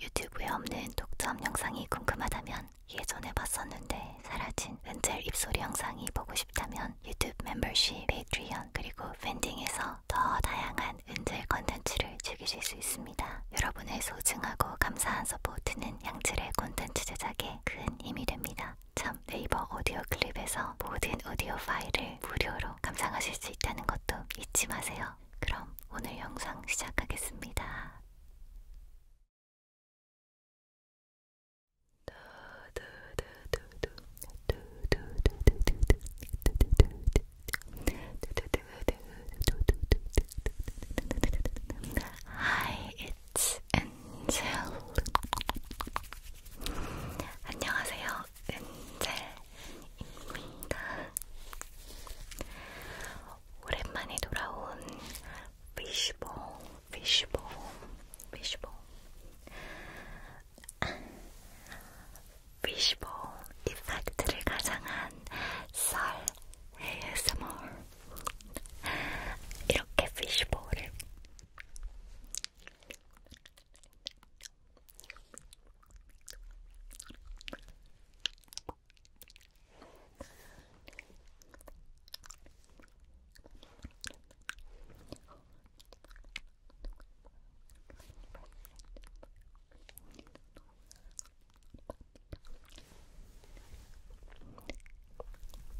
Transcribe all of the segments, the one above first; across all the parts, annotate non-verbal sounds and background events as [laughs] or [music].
유튜브에 없는 독점 영상이 궁금하다면 예전에 봤었는데 사라진 은젤 입소리 영상이 보고 싶다면 유튜브 멤버십, 페이트리언 그리고 팬딩에서 더 다양한 은젤 컨텐츠를 즐기실 수 있습니다. 여러분의 소중하고 감사한 서포트는 양질의 콘텐츠 제작에 큰 힘이 됩니다. 참 네이버 오디오 클립에서 모든 오디오 파일을 무료로 감상하실 수 있다는 것도 잊지 마세요. 그럼 오늘 영상 시작하겠습니다. Hi, it's Angel. 안녕하세요, 엔젤 입니다. 오랜만에 돌아온 피시봉, 피시봉, 피시봉, 피시봉 이펙트를 가장한 썰 ASMR. 이렇게 피시봉을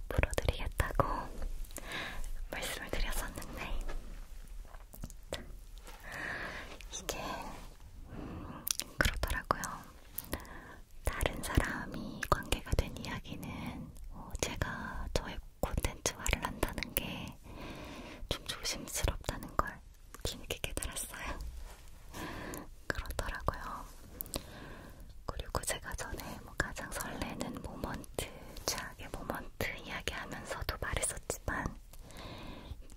풀어드리겠다고 말씀을 드렸었는데 이게 그러더라고요. 다른 사람이 관계가 된 이야기는 어, 제가 저의 콘텐츠화를 한다는 게 좀 조심스럽다는 걸 뒤늦게 깨달았어요. 그렇더라고요. 그리고 제가 전에 뭐 가장 설레는 모먼트, 최악의 모먼트 이야기하면서도 말했었지만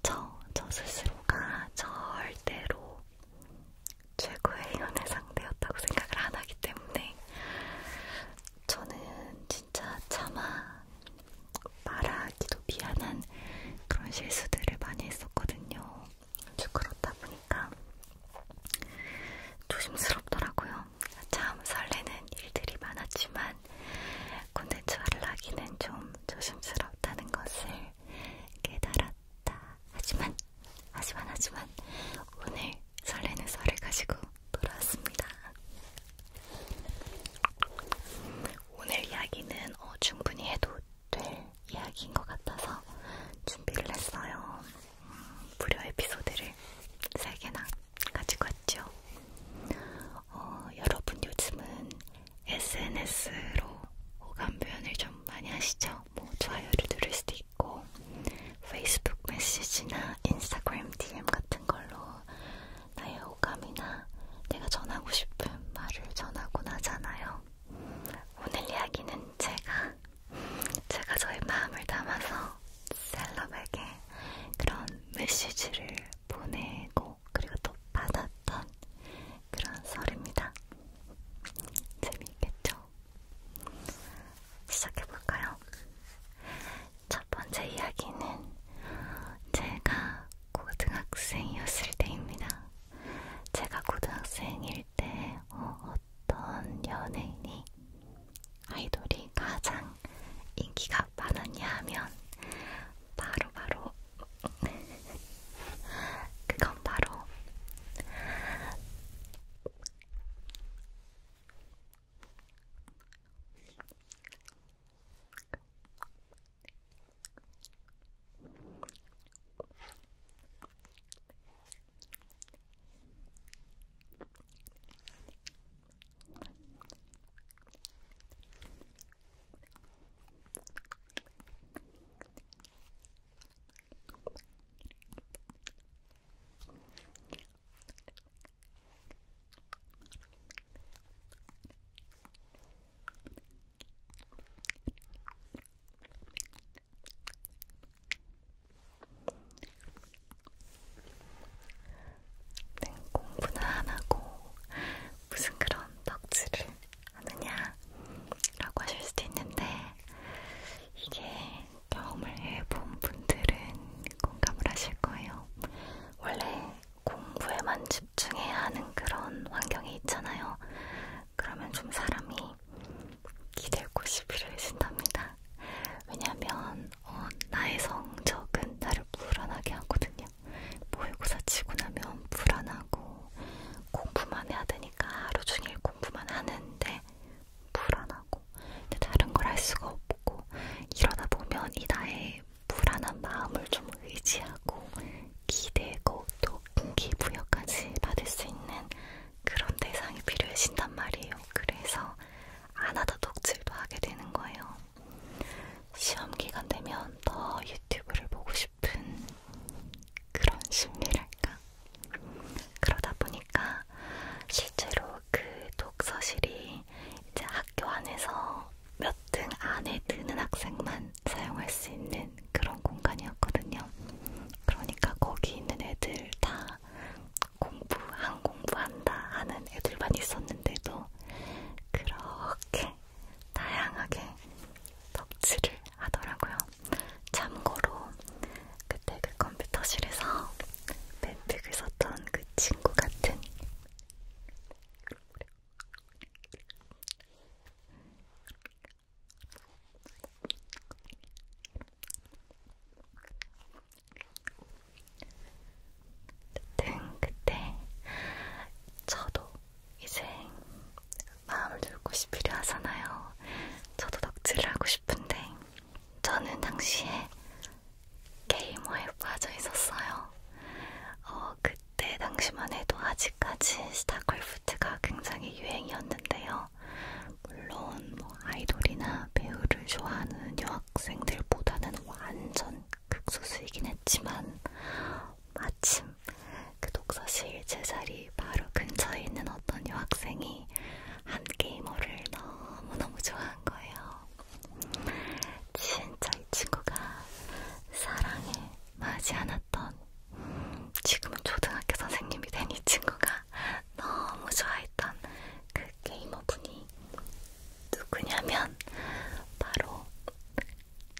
저, 저 스스로가 절대로 최고의 연애 상대였다고 생각을 안 하기 때문에 저는 진짜 차마 말하기도 미안한 그런 실수들을 많이 했었거든요. 그렇다 보니까 조심스럽더라고요. 참 설레는 일들이 많았지만 콘텐츠화를 하기는 좀 조심스럽다는 것을 깨달았다. 하지만, 하지만, 하지만 오늘 설레는 설을 가지고 돌아왔습니다. 오늘 이야기는 어, 충분히 해도 될 이야기인 것 같아서 준비를 했어요. 음, 무료 에피소드를 3개나 가지고 왔죠. 어, 여러분 요즘은 SNS로 호감 표현을 좀 많이 하시죠? 뭐 좋아요를 누를 수도 있고 페이스북 메시지나 인스타그램 DM 같은 걸로 나의 호감이나 내가 전하고 싶은 말을 전하곤 하잖아요. 오늘 이야기는 제가 제가 저의 마음을 담아서 셀럽에게 그런 메시지를 보내고 받고 그리고 또 받았던 그런 썰입니다. 재미있겠죠? 시작해볼까요? 첫 번째 이야기는 제가 고등학생이었을 때입니다. 제가 고등학생일 때 어, 어떤 연예인이 아이돌이 가장 인기가 많았냐 하면 바로바로 바로 그건 바로 네, 공부는 안 하고 무슨 그런 덕질을 하느냐라고 하실 수도 있는데 이게 경험을 해본 분들은 공감을 하실 거예요. 원래 공부에만 집중해야 하는 그런 환경이 있잖아요. 그러면 좀 사람이 기대고 싶으해진답니다 왜냐하면 어, 나의 성적은 나를 불안하게 하거든요. 있거든요. 모의고사 치고 나면 불안하고 공부만 해야 되니까 하루 종일 공부만 하는데 불안하고 근데 다른 걸 할 수가 없고 이러다 보면 이 나의 불안한 마음을 좀 의지하고 기대고 또 동기부여까지 받을 수 있는 그런 대상이 필요해진단 말이에요. 그래서 안 하다 덕질도 하게 되는 거예요. 시험 기간 되면 더 유튜브를 보고 싶은 그런 심리랄까? 그러다 보니까 실제로 그 독서실이 이제 학교 안에서 몇 등 안에 드는 학생만 사용할 수 있는 그런 공간이었거든요. 그러니까 거기 있는 애들 다 공부, 한 공부한다 하는 애들만 있었는데도 그렇게 다양하게 덕질을 하더라고요. 참고로 그때 그 컴퓨터실에서 뱀픽을 썼던 그 친구 같은 등 그때 저도 이제 마음을 둘 곳이 필요하잖아요. 저도 덕질을 하고 싶은데 저는 당시에 게이머에 빠져 있었어요. 어, 그때 당시만 해도 아직까지 스타크래프트가 굉장히 유행이었는데요. 물론 뭐 아이돌이나 배우를 좋아하는 여학생들보다는 완전 극소수이긴 했지만 마침 그 독서실 제자리 바로 근처에 있는 어떤 여학생이 한 게이머를 너무너무 좋아한 거예요. 진짜 이 친구가 사랑에 맞지 않았던 지금은 초등학교 선생님이 된 이 친구가 너무 좋아했던 그 게이머분이 누구냐면 바로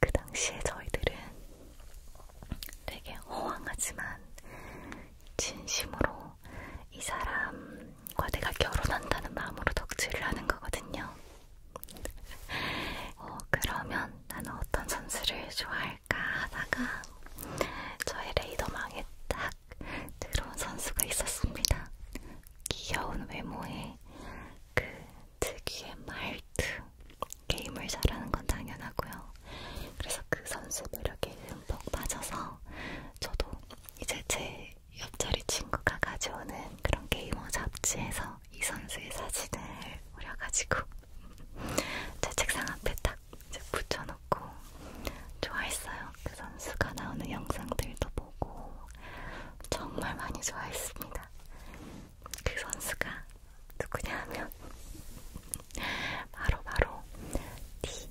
그 당시에 저희들은 되게 허황하지만 진심으로 이 사람과 내가 결혼한다는 마음으로 덕질을 하는 거거든요. 어, 그러면 나는 어떤 선수를 좋아할까 하다가 저의 레이더망에 딱 그런 선수가 있었습니다. 귀여운 외모에 그 특유의 말투, 게임을 잘하는 건 당연하고요. 그래서 그 선수 매력에 흠뻑 빠져서 저도 이제 제 옆자리 친구가 가져오는 그런 게이머 잡지에서 이 선수의 사진을 오려가지고 [laughs] 제 책상 앞에 딱 이제 붙여놓고 좋아했어요. 그 선수가 나오는 영상들도 보고 정말 많이 좋아했습니다. 그 선수가 누구냐 하면 바로 바로 디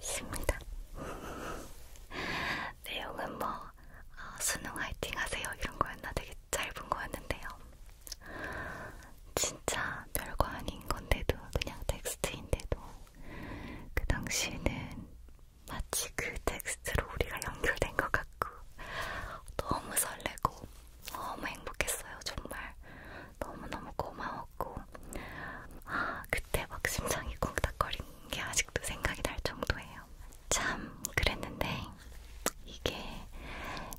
있습니다. 내용은 네, 뭐 어, 수능 화이팅 하세요 이런 거였나 되게 짧은 거였는데요. 진짜 별거 아닌 건데도 그냥 텍스트인데도 그 당시에는 마치 그 텍스트로 우리가 연결된 것 같고 너무 설레고 너무 행복했어요. 정말 너무너무 고마웠고 아 그때 막 심장이 콩닥거리는 게 아직도 생각이 날 정도예요. 참 그랬는데 이게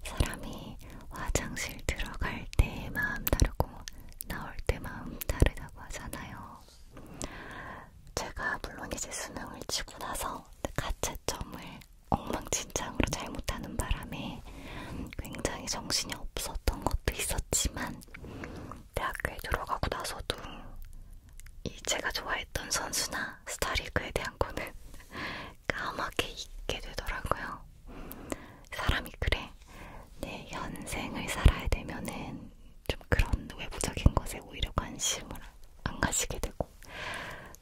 사람이 화장실 들어갈 때 마음 다르고 나올 때 마음 다르다고 하잖아요. 제가 물론 이제 수능을 치고 나서 가채 채점을 엉망진창으로 잘못하는 바람에 굉장히 정신이 없었던 것도 있었지만 대학교에 들어가고 나서도 이 제가 좋아했던 선수나 스타리그에 대한 거는 [laughs] 까맣게 잊게 되더라고요. 사람이 그래. 내 현생을 살아야 되면은 좀 그런 외부적인 것에 오히려 관심을 안 가지게 되고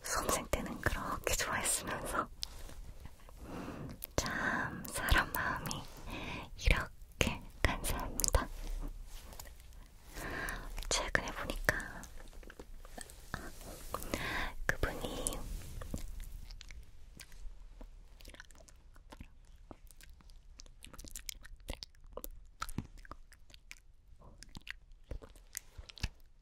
수험생 때는 그렇게 좋아했으면서 참 사람 마음이 이렇게 간사합니다. 최근에 보니까 그분이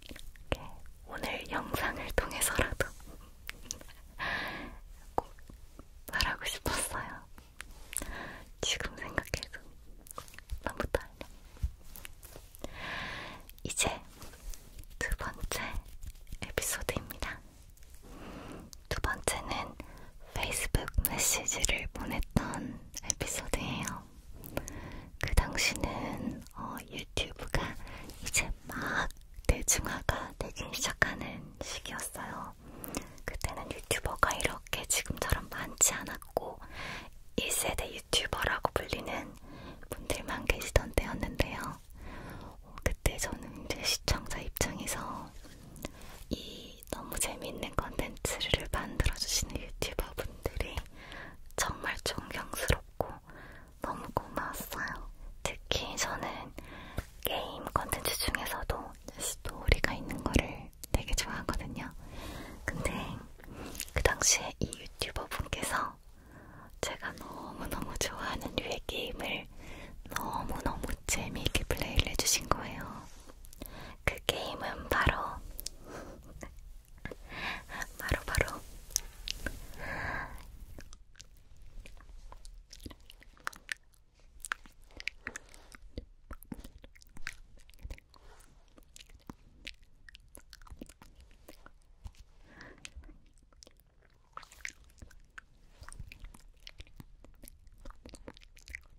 이렇게 오늘 영상을 통해서라도 [laughs] 꼭 말하고 싶었어요. 지금 생각해도 너무 떨려. 이제 두 번째 에피소드입니다. 두 번째는 페이스북 메시지를 보냈던 에피소드예요. 그 당시는 어, 유튜브가 이제 막 대중화가 되기 시작하는 시기였어요. 그때는 유튜버가 이렇게 지금처럼 많지 않았고 1세대 유튜버라고 불리는 분들만 계시던 때였는데요. 그때 저는 이제 시청자 입장에서 이이 너무 재밌는 컨텐츠를 만들어주시는 유튜버분들이 정말 존경스럽고 너무 고마웠어요. 특히 저는 게임 컨텐츠 중에서도 스토리가 있는 거를 되게 좋아하거든요. 근데 그 당시에 이 유튜버분께서 제가 너무너무 좋아하는 류의 게임을 너무너무 재미있게 플레이를 해주신 거예요. 그 게임은 바로 바로 바로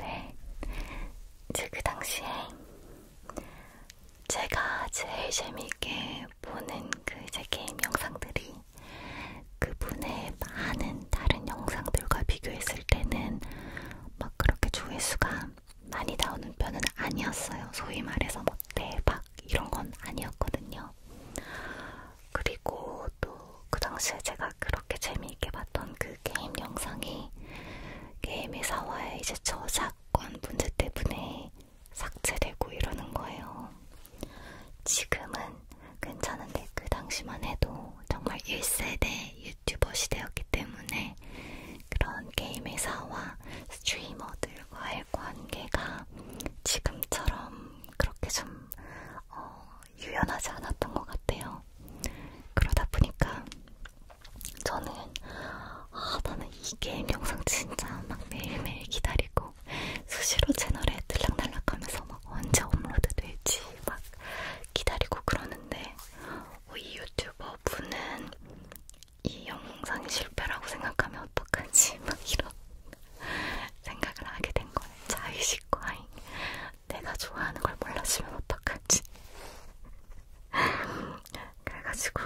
네, 제그 당시에 제가 제일 재미있게 보는 그 이제 게임 영상들이 그분의 많은 다른 영상들과 비교했을 때는 막 그렇게 조회수가 많이 나오는 편은 아니었어요. 소위 말해서 막 뭐 대박 이런 건 아니었거든요. 그리고 또 그 당시에 제가 그렇게 재미있게 봤던 그 게임 영상이 게임회사와의 이제 저작 저작권 문제 때문에 삭제되고 이러는 거예요. 지금은 괜찮은데 그 당시만 해도 정말 1세대 유튜버 시대였기 때문에 그런 게임 회사와 스트리머들과의 관계가 지금처럼 그렇게 좀 어, 유연하지 않았던 것 같아요. 그러다 보니까 저는 아 나는 이 게임 영상 진짜 막 매일매일 기다리고 수시로 채널에 들락날락하면서 막 언제 업로드 될지 막 기다리고 그러는데 어, 이 유튜버 분은 이 영상이 실패라고 생각하면 어떡하지 [laughs] 막 이런 생각을 하게 된 거예요. 자의식 과잉. 내가 좋아하는 걸 몰랐으면 어떡하지? 그래가지고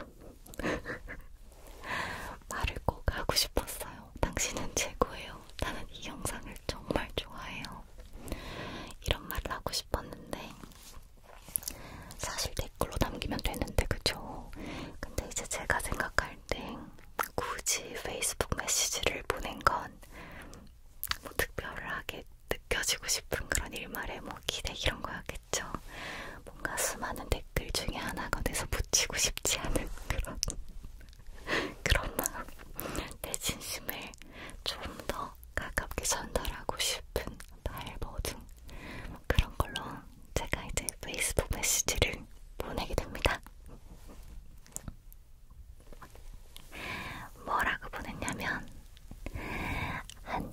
[laughs] 말을 꼭 하고 싶었어요. 당신은 최고예요. 나는 이 영상을 정말 좋아해요. 이런 말을 하고 싶었는데 사실 댓글로 남기면 되는데 그죠? 근데 이제 제가 생각할 때 굳이 페이스북 메시지를 보낸 건 뭐 특별하게 느껴지고 싶은 그런 일말의 뭐 기대 이런 거였겠죠. 뭔가 수많은 댓글 중에 하나가 돼서 붙이고 싶지 않은 [laughs] 그런 그런 마음. 내 진심을 좀 더 가깝게 전달하고 싶은 발버둥 그런 걸로 제가 이제 페이스북 메시지를 보내게 됩니다. 뭐라고 보냈냐면 한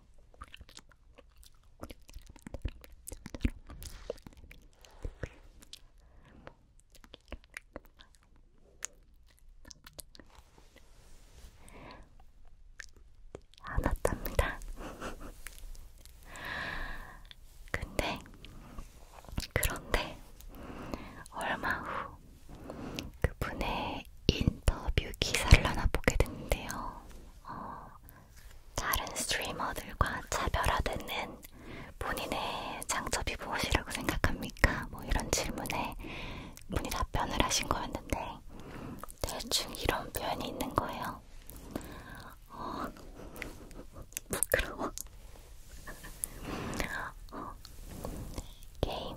안 왔답니다. 근데, 그런데, 얼마 후 그분의 인터뷰 기사를 하나 보게 됐는데요. 어, 다른 스트리머들과 차별화되는 본인의 장점이 무엇이라고 생각합니까? 뭐 이런 질문에 분이 답변을 하신 거였는데 대충 이런 표현이 있는 거예요. 어, 부끄러워. [laughs] 어, 게임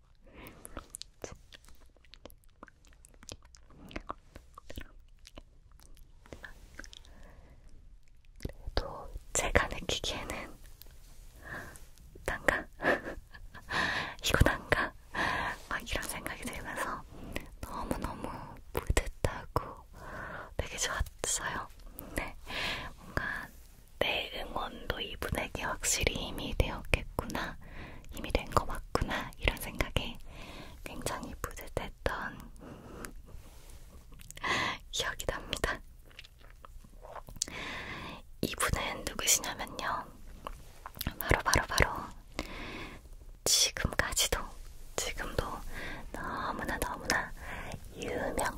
그래도 제가 느끼기에는 난가? [laughs] 이거 난가? 막 이런 생각이 들면서 너무너무 뿌듯하고 되게 좋았어요. 네, 뭔가 내 응원도 이분에게 확실히 힘이 되었겠구나 힘이 된거 맞구나 이런 생각에 굉장히 뿌듯했던 [laughs] 기억이 납니다. 이분은 누구시냐면요. 바로 바로 바로 지금까지도 지금도 너무나 너무나 유명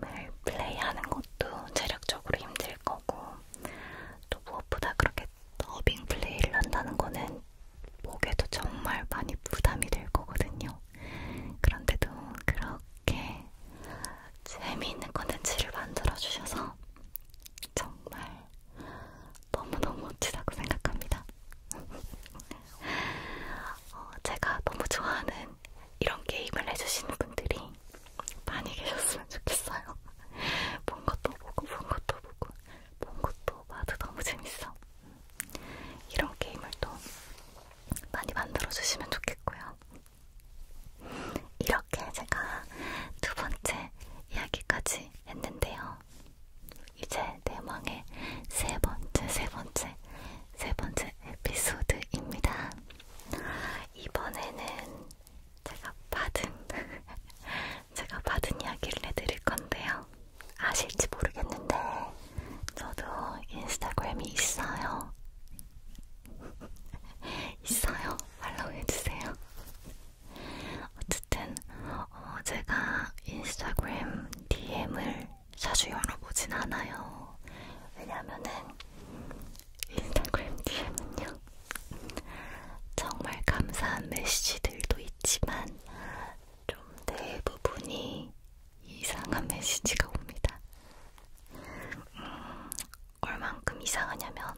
매일 플레이하는 것도 체력적으로 힘들 거고 또 무엇보다 그렇게 더빙 플레이를 한다는 거는 목에도 정말 많이 부담이 될 거거든요. 그런데도 그렇게 재미있는 콘텐츠를 만들어 주셔서 정말 너무너무 멋지다고 생각합니다. [laughs] 어, 제가 너무 좋아하는 이런 게임을 해주시는 분들이 많이 계셨으면 좋겠어요. [laughs] 본 것도 보고, 본 것도 보고, 본 것도 봐도 너무 재밌어. 이런 게임을 또 많이 만들어주시면 좋겠고요. 이렇게 제가 두 번째 이야기까지 했는데요. 이제 내망의 세 번째, 세 번째, 세 번째 에피소드입니다. 이번에는 제가 받은, [laughs] 제가 받은 이야기를 해드릴 건데요. 아실지 모르겠는데, 저도 인스타그램이 있어요. [laughs] 있어요. 팔로우 해주세요. 어쨌든 어, 제가 인스타그램 DM을 자주 열어보진 않아요. 왜냐면은 인스타그램 DM은요. 정말 감사한 메시지들도 있지만 좀 대부분이 이상한 메시지가 옵니다. 음, 얼만큼 이상하냐면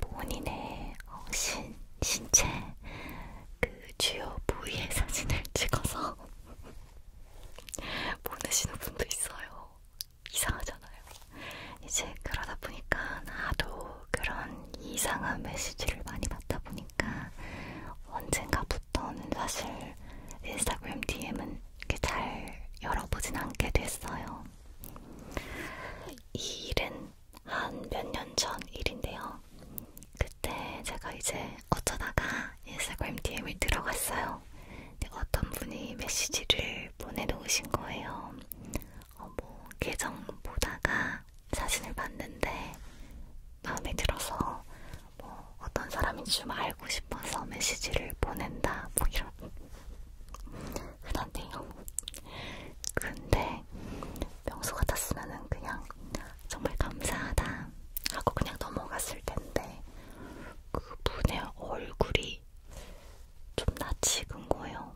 본인의 어, 신, 신체 그 주요 부위의 사진을 찍어서 [laughs] 보내시는 분도 있어요. 이상하잖아요. 이제 그러다 보니까 나도 그런 이상한 메시지를 많이 받다 보니까 언젠가부터는 사실 인스타그램 DM은 이렇게 잘 열어보진 않게 됐어요. 이 일은 한몇년전 일인데요. 그때 제가 이제 어쩌다가 인스타그램 DM을 들어갔어요. 근데 어떤 분이 메시지를 보내놓으신 거예요. 어, 뭐 계정 보다가 사진을 봤는데 마음에 들어서 뭐 어떤 사람인지 좀 알고 싶어서 메시지를 보낸다. 뭐 이런. 흔한데요. 근데 명수 같았으면은 그냥 정말 감사하다 하고 그냥 넘어갔을 텐데 그 분의 얼굴이 좀 낯익은 거예요.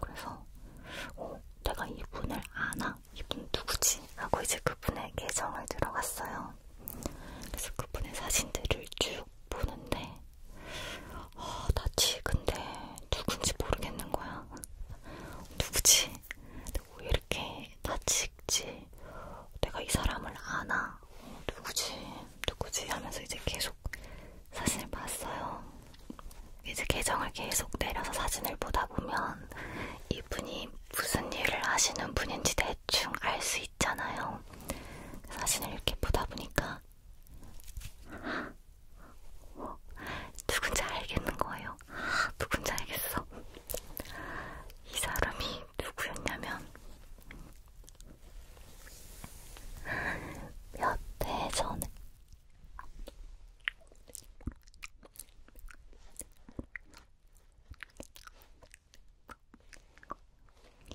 그래서 어, 내가 이분을 아나? 이분 누구지? 하고 이제 그분의 계정을 들어갔어요. 그래서 그분의 사진들을 쭉 보는데 아, 나지 근데 누군지 모르겠는 거야. 누구지? 근데 왜 뭐 이렇게 다치지? 내가 이 사람을 아나? 어, 누구지? 누구지? 하면서 이제 계속 사진을 봤어요. 이제 계정을 계속 내려서 사진을 보다 보면 이분이 무슨 일을 하시는 분인지 대충 알 수 있잖아요. 사진을 이렇게 보다 보니까 누군지 알겠는 거예요. 누군지 알겠어. 이 사람이 누구였냐면 몇해 전에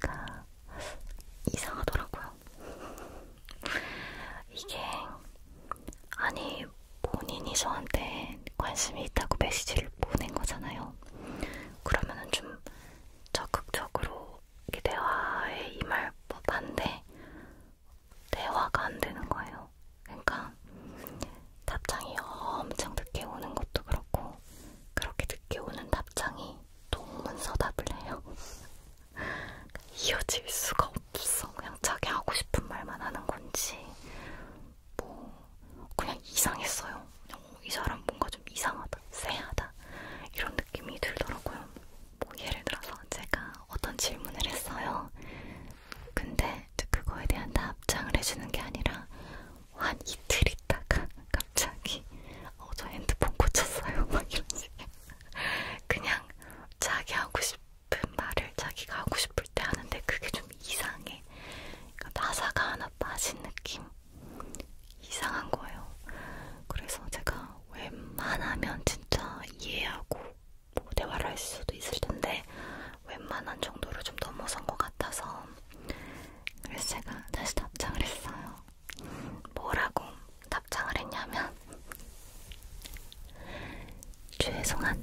뭔가 이상하더라고요. 이게 아니 본인이 저한테 관심이 있다고 메시지를 보낸 거잖아요. 그러면은 좀 적극적으로 대화에 임할 법한데 대화가 안 되는 거예요. 그러니까 답장이 엄청 늦게 오는 것도 그렇고 그렇게 늦게 오는 답장이 동문서답을 해요. [laughs] 이어질 수가 없어. 그냥 자기 하고 싶은 말만 하는 건지 뭐 그냥 이상했어요. 어, 이 사람 뭔가 좀 이상하다, 쎄하다 이런 느낌이 들더라고요. 뭐 예를 들어서 제가 어떤 질문을 했어요. 근데 그거에 대한 답장을 해주는 게 아니라 한 이틀 있다가 [laughs] 갑자기 어, 저 핸드폰 고쳤어요. [laughs] 막 이런 식의 그냥 자기 하고 싶은 말을 자기가 하고 싶을 때 하는데 그게 좀 이상해. 그러니까 나사가 하나 빠진 느낌? 이상한 거예요. 그래서 제가 웬만하면 진짜 이해하고 뭐 대화를 할 수도 있을 텐데 웬만한 정도로 좀 넘어선 것 같아서 그래서 제가 다시 답장을 했어요. 뭐라고 답장을 했냐면 죄송한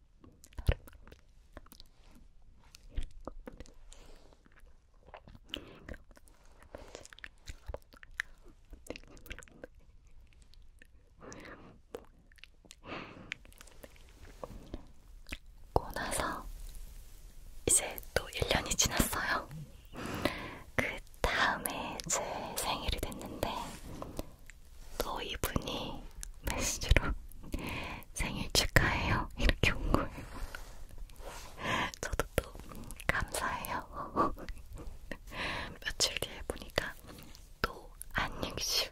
고 나서 이제 또 1년이 지났어요. 그 다음에 제 생일이 됐는데 또 이분이 메시지로 생일 축하해요 이렇게 온 거예요. 저도 또 감사해요. 며칠 뒤에 보니까 또 안익슈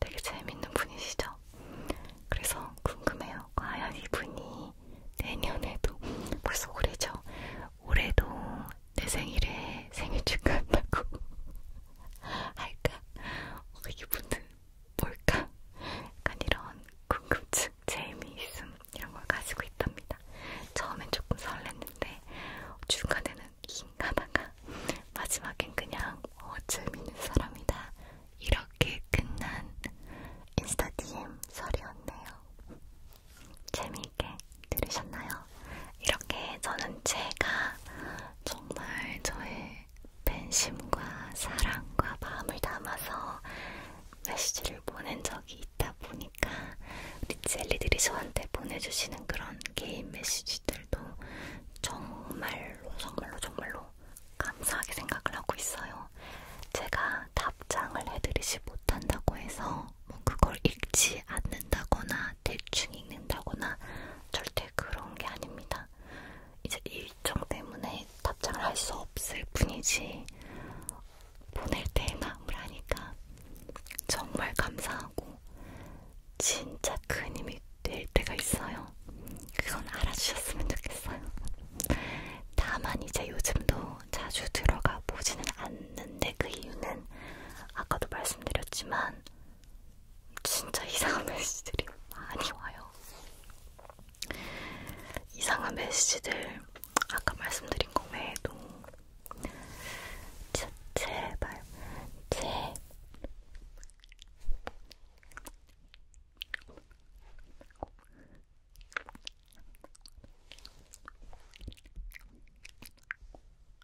되게 재밌는 분이시죠? 그래서 궁금해요. 과연 이분이 내년에도 벌써 올해죠? 올해도 내 생일에 생일 축하한다고 [laughs] 할까? 어, 이게 무슨 뭘까? 약간 이런 궁금증, 재미있음 이런 걸 가지고 있답니다. 처음엔 조금 설렜는데 중간에는 긴가다가 [laughs] 마지막엔 그냥 어, 재미있는 사람이다 이렇게 끝난 인스타 DM 설이었네요. 재미있게 들으셨나요? 이렇게 저는 제가 정말 저의 팬심과 사랑과 마음을 담아서 메시지를 보낸 적이 있다 보니까 우리 젤리들이 저한테 보내주시는 그런 개인 메시지들도 정말로 정말로 정말로 감사하게 생각을 하고 있어요. 제가 답장을 해드리지 못한다고 해서 뭐 그걸 읽지 않는다거나 대충 읽는다거나 절대 그런 게 아닙니다. 이제 일정 때문에 답장을 할 수 없을 뿐이지 보낼 때 마음을 하니까 정말 감사하고 진짜 큰 힘이 될 때가 있어요. 그건 알아주셨으면 좋겠어요. 다만 이제 요즘도 자주 들어가 보지는 않는 했는데 그 이유는 아까도 말씀드렸지만 진짜 이상한 메시지들이 많이 와요. 이상한 메시지들 아까 말씀드린 것 외에도 제, 제발 제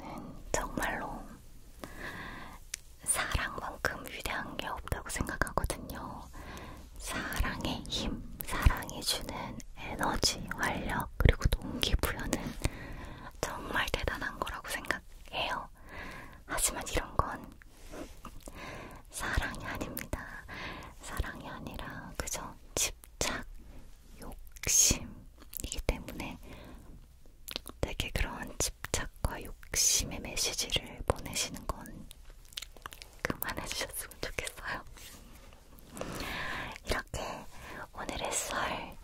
는 정말로 사랑만큼 위대한 게 없다고 생각하거든요. 사랑의 힘, 사랑이 주는 에너지, 활력, 그리고 동기부여는 정말 대단한 거라고 생각해요. 하지만 이런 건 사랑이 아닙니다. 사랑이 아니라 그저 집착, 욕심이기 때문에 되게 그런 집착과 욕심의 메시지를 보내시는 건 그만해주셨으면 좋겠어요. 이렇게 오늘의 썰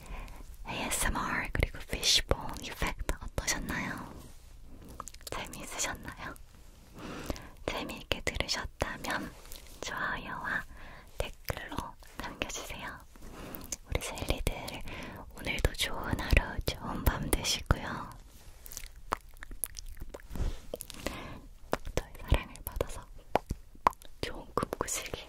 ASMR 그리고 피시본 이펙트 어떠셨나요? 재미있으셨나요? 재미있게 들으셨다면 좋아요와 댓글로 남겨주세요. 우리 셀리들 오늘도 좋은 하루, 좋은 밤 되시고요. 저의 사랑을 받아서 좋은 꿈 꾸시길.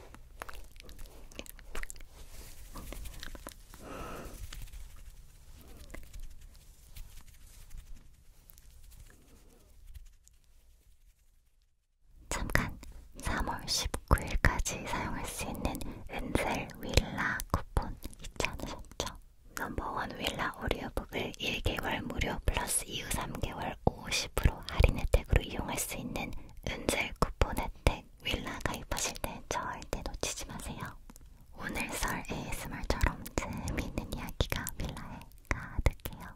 잠깐 3월 19일까지 사용할 수 있는 은셀 윌라 쿠폰 잊지 않으셨죠? 넘버원 윌라 오디오북을 1개월 무료 플러스 이후 3개월 50% 할인 혜택으로 이용할 수 있는 은셀 쿠폰 혜택 윌라 가입하실 때 절대 놓치지 마세요. 오늘 썰 ASMR처럼 재미있는 이야기가 빌라에 가득해요.